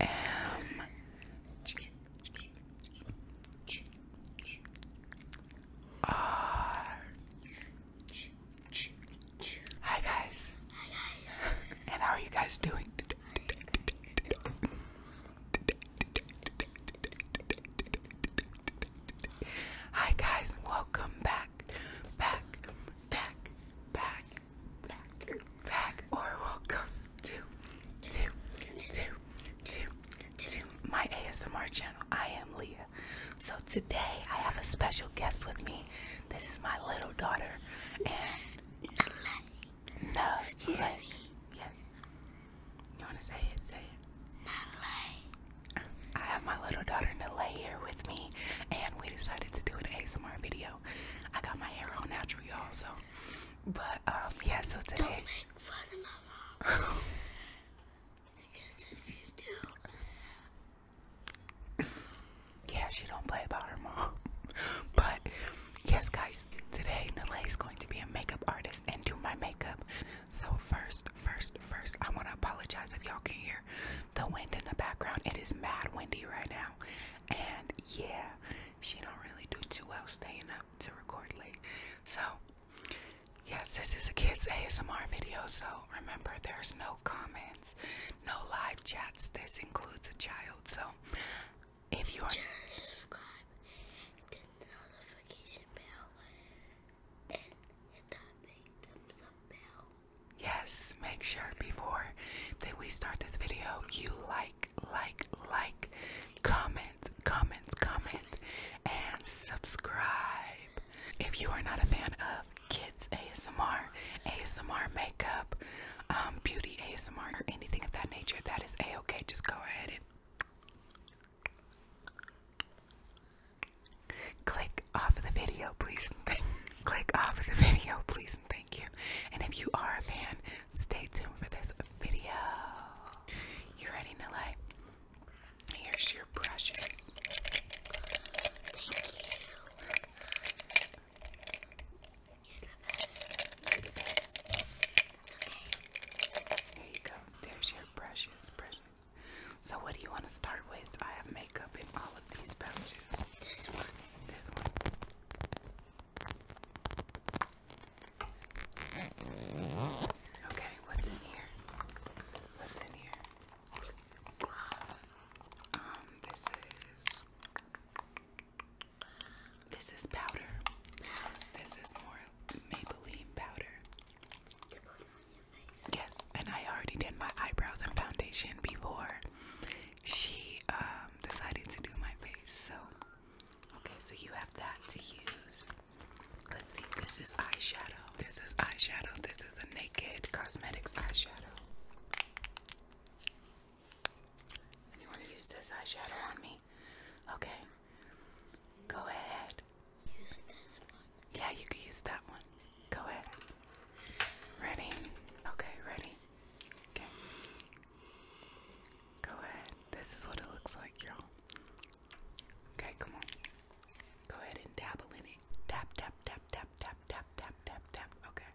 M R Hi guys. Hi guys. and how are you guys doing? Hi guys, welcome back, back, back, back, back, back, or welcome to, to, to, to, to my ASMR channel. I am Leah. So today I have a special guest with me. This is my little daughter, and no, excuse me. Yes, you wanna say it? Say it. Nalay. I have my little daughter Nalay here with me, and we decided to do an ASMR video. I got my hair all natural, y'all, so but um, yeah, so today Don't make fun of my mom. because if you do Yeah, she don't play about her mom. but yes guys, today Nalay is going to be a makeup artist and do my makeup. So first, first, first I wanna apologize if y'all can hear the wind in the background. It is mad windy right now. And yeah, she don't really do too well staying up to record late. So yes, this is a kids ASMR video. So remember there's no comments, no live chats. This includes a child. So if you are subscribe, Yes, make sure before that we start this video, you like, like, like, comment, comment, comment, and subscribe. If you are not a fan of kids ASMR, ASMR makeup, um, beauty ASMR, or anything of that nature, that is a okay. Just go ahead and Click off of the video, please. Click off of the video, please, thank you. And if you are a fan, stay tuned for this video. You ready, Nile? Here's your brushes. Thank you. go. There's your brushes. Brushes. So what do you want to start with? I have makeup in all of these pouches. This one. This one. Okay, what's in here? What's in here? Um, this is this is powder. This is more Maybelline powder. Yes, and I already did my eyebrows and foundation before she um, decided to do my face. So, okay, so you have that to use. Let's see, this is eyeshadow. This is eyeshadow. This is a Naked Cosmetics eyeshadow. You want to use this eyeshadow on me? Okay. Go ahead. Use this one. Yeah, you can use that one. Go ahead. Ready? Okay, ready. Okay. Go ahead. This is what it looks like, y'all. Okay, come on. Go ahead and dabble in it. Tap, tap, tap, tap, tap, tap, tap, tap, tap. Okay.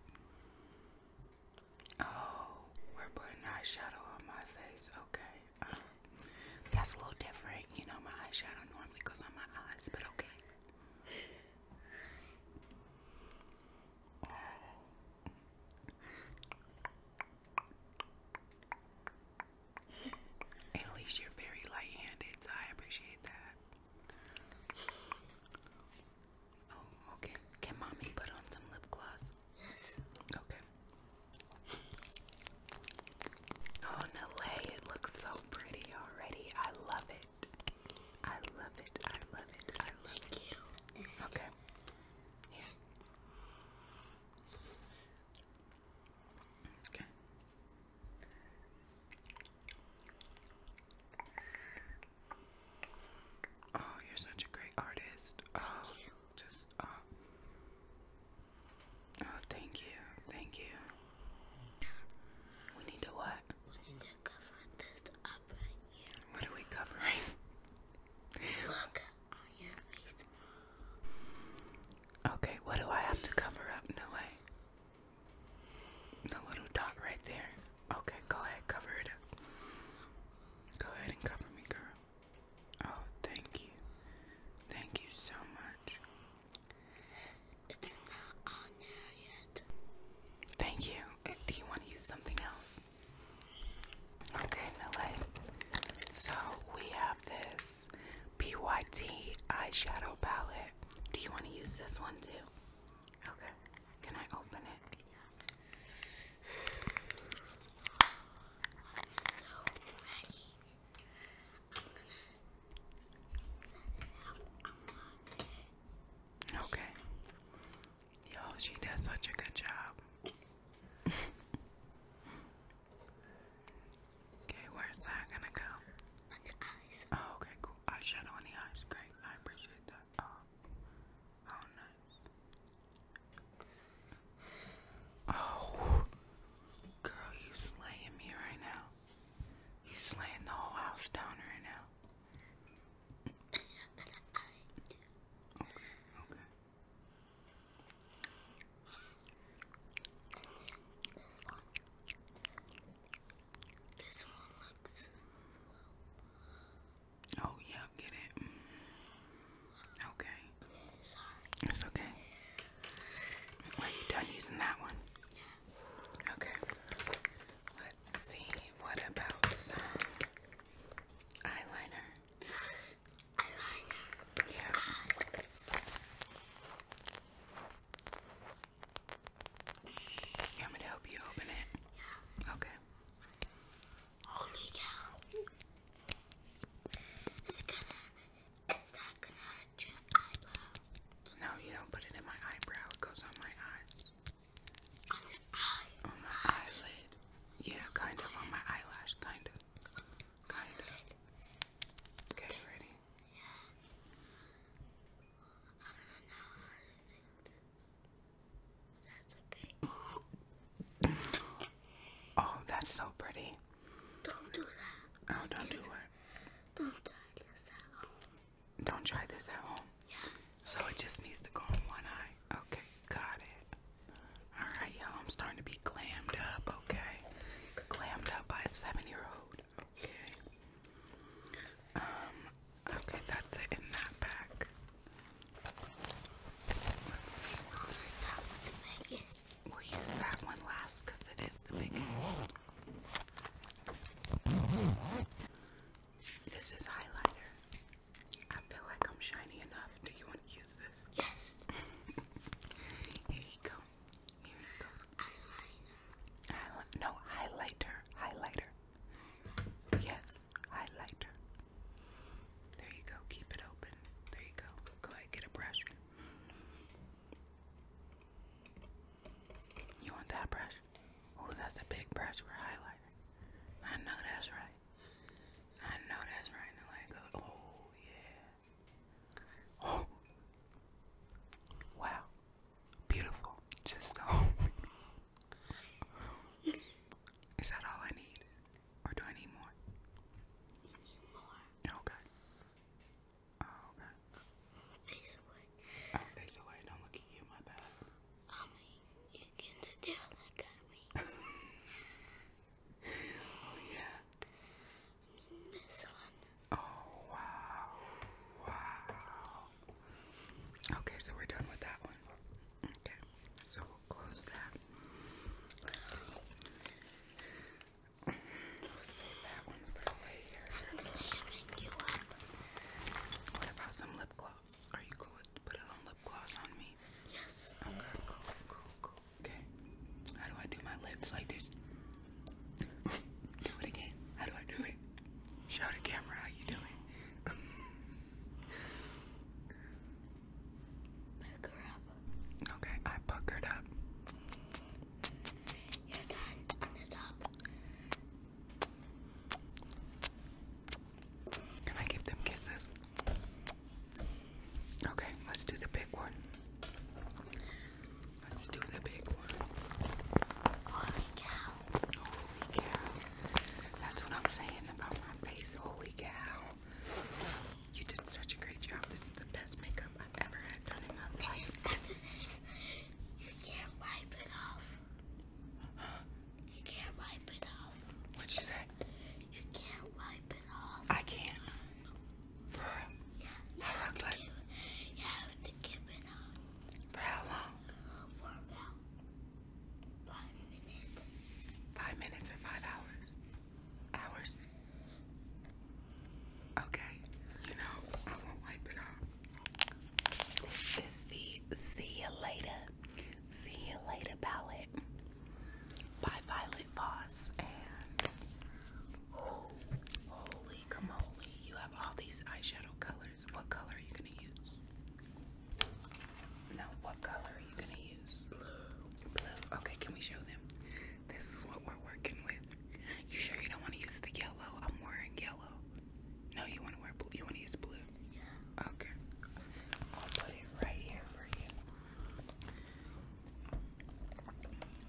Oh, we're putting eyeshadow on my face. Okay. Uh-huh. That's a little different. You know, my eyeshadow normally goes on my eyes, but okay. At least you're very light-handed, so I appreciate that. Oh, okay. Can mommy put on some lip gloss? Yes. Okay. Oh no way, it looks so pretty already. I love it. I love it. I love it. I love You. Okay. Here. Okay. Oh, you're such a great artist. Oh. you just uh oh thank you, thank you. We need to what? We need to cover this up right here. What are we covering? Look on your face. Okay, what do I have to cover up, Nile? The little dot right there. Okay, go ahead, cover it up. Go ahead and cover me, girl. Oh, thank you. Thank you so much. It's not on there yet. Thank you. Uh, do you want to use something else? Okay, Millet. So we have this BYT eyeshadow palette. Do you want to use this one too? Okay. Can I open it? Okay. Yo, she does such a good job. okay, where's that gonna go? Oh, okay, cool. Eyeshadow on the eyes. Great. I appreciate that. Oh, oh nice. Oh, girl, you slaying me right now. You are slaying the whole house down right now. Okay, okay. Oh yeah, get it. Mm. Okay. It's okay. Are you done using that one? Yeah. Okay. Let's see. What about eyeliner? Eyeliner. Yeah. You want me to help you open it? Yeah. Okay. Holy cow. It's gonna, it's not gonna hurt your eyebrow. No, you don't put it in my eyebrow. It goes on my eyes. On my eyelid. Yeah, kind of. On my eyelash, kind of. Kind of. Okay, ready? Yeah. Oh, that's so pretty. Don't do that. Oh, don't do it. Don't try this at home. Don't try this at home? Yeah. So it just needs to go on one eye. Okay, got it. Alright, y'all, I'm starting to be clammed up, okay? Clammed up by a seven year old. Okay. Um, Okay, that's it in that pack. We'll use that one last because it is the biggest. This is highlighter. I feel like I'm shiny enough. Do you want to use this? Yes. Here you go. Here you go. Eyeliner. no, highlighter. Highlighter. Yes highlighter. There you go. Keep it open. There you go. Go ahead, get a brush. You want that brush? Oh, that's a big brush for highlighter. I know that's right. I know that's right. Oh yeah. Oh. Wow. Beautiful. Just oh. Is that all I need? Or do I need more? You need more. Okay. Oh, Face away. Oh, face away. Don't look at you, my bad. I mean, you can still look me. oh, yeah. this one. Oh, wow. Wow. Okay, so we're done with that one. Okay, so we'll close that. What about some lip gloss? Are you cool with putting on lip gloss on me? Yes. Okay, cool, cool, cool. Okay. How do I do my lips like this? do it again. How do I do it? Show the camera how you doing. Pucker up. Okay, I puckered up. Can I give them kisses? Okay, let's do the big one. Let's do the big one. Holy cow. Holy cow. That's what I'm saying about my face. Holy cow. You did such a great job. This is the best makeup I've ever had done After this, you can't wipe it off. You can't wipe it off. What'd you say? You can't wipe it off. I can't. You have to like. it on. For how long? For about five minutes. Five minutes or five hours? Hours? Okay. You know, I won't wipe it off. This is the See You Later, See You Later palette by Violet Voss. And holy camoli, you have all these eyeshadow colors. What color are you gonna use? No, what color are you gonna use? Blue. Okay, can we show them? This is what we're working with. You sure you don't want to use the yellow? I'm wearing yellow. No, you want to wear blue. You want to use blue? Yeah. Okay. I'll put it right here for you.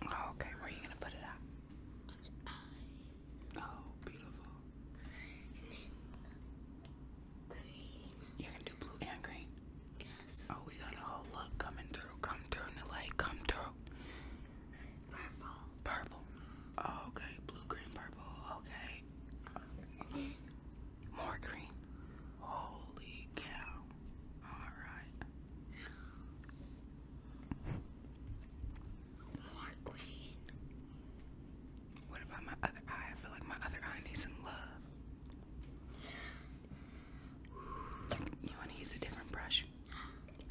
Okay, where are you gonna put it at? Oh, beautiful. green. You can do blue and green. Yes. Oh, we got a whole look coming through. Come through in the light. Come through. Purple. Purple. Oh, okay. Blue, green, purple. okay. More green. Holy cow. Alright. More green. What about my other eye? I feel like my other eye needs some love. You want to use a different brush?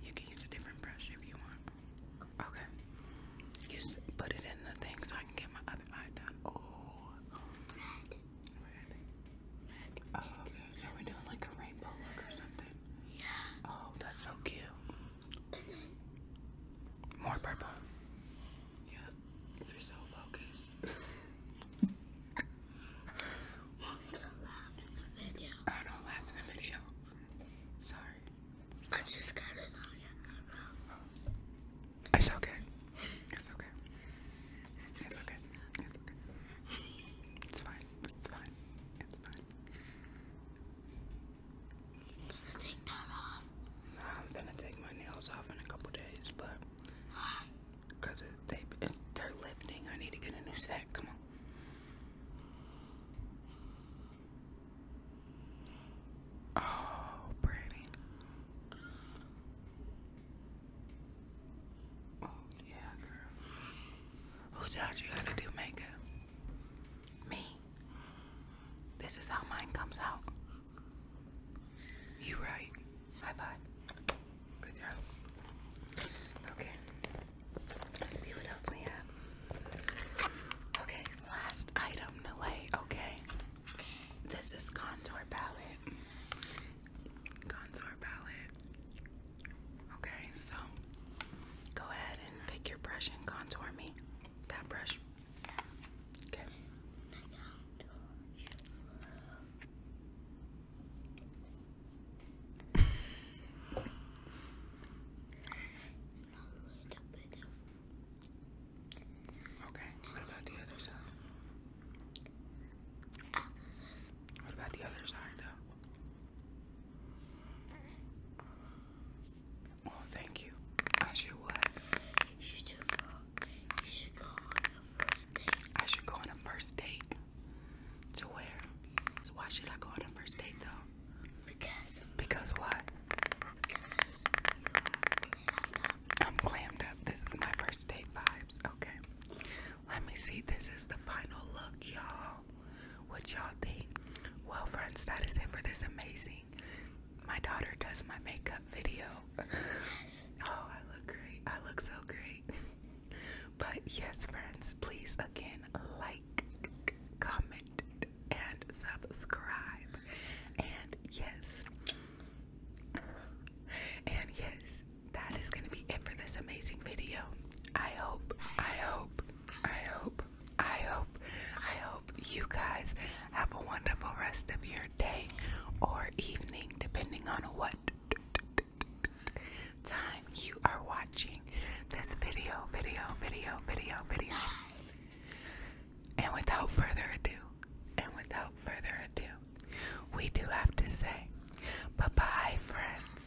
You can use a different brush if you want. Okay. You put it in the thing so I can get my other eye done. Oh. So we're doing like a rainbow look or something. Yeah. Oh, that's so cute. More purple. Yep. Yeah, they're so focused. i don't laugh in the video. Sorry. I just got it on your It's okay. It's okay. It's okay. It's okay. It's fine fine. It's fine. It's fine. I'm gonna take that off. I'm gonna take my nails off in a couple days, but because it, they it's, they're lifting, I need to get a new set. Come on. Oh, pretty. Oh yeah, girl. Who taught you how to do makeup? Me. This is how mine comes out. You right. High five. Good job. Okay. Let's see what else we have. Okay, last item to okay? This is contour palette. Contour palette. Okay, so go ahead and pick your brush and contour me. That brush. Okay. Okay, what about the other side? What about the other side, though? Well, thank you. I should what? You should, you should go on a first date. I should go on a first date? To where? So why should I go on a first date, though? Because. Because what? Because I'm clammed up. This is my first date vibes. Okay. Let me see. This is the final look, y'all. What y'all think? Well, friends, that is it for this amazing. My daughter does my makeup video. Yes. Oh, I look great. I look so great. but yes, friends, please again like, comment, and subscribe. And yes. And yes, that is gonna be it for this amazing video. I hope, I hope, I hope, I hope, I hope you guys have a wonderful rest of your day or evening, depending on what time you are watching this video, video, video, video, video. And without further ado, and without further ado, we do have to say bye bye, friends.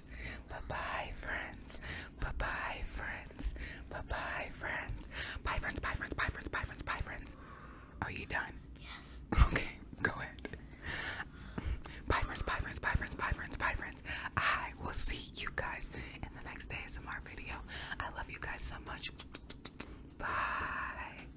Bye bye, friends. Bye bye, friends. Bye bye, friends. Bye, friends. Bye, friends. Bye, friends. Bye, friends. Bye, friends. Are you done? Yes. Okay, go ahead. Bye, friends. Bye, friends. Bye, friends. Bye, friends. Bye, friends. I will see you guys in the next ASMR video. I love you guys so much. Bye.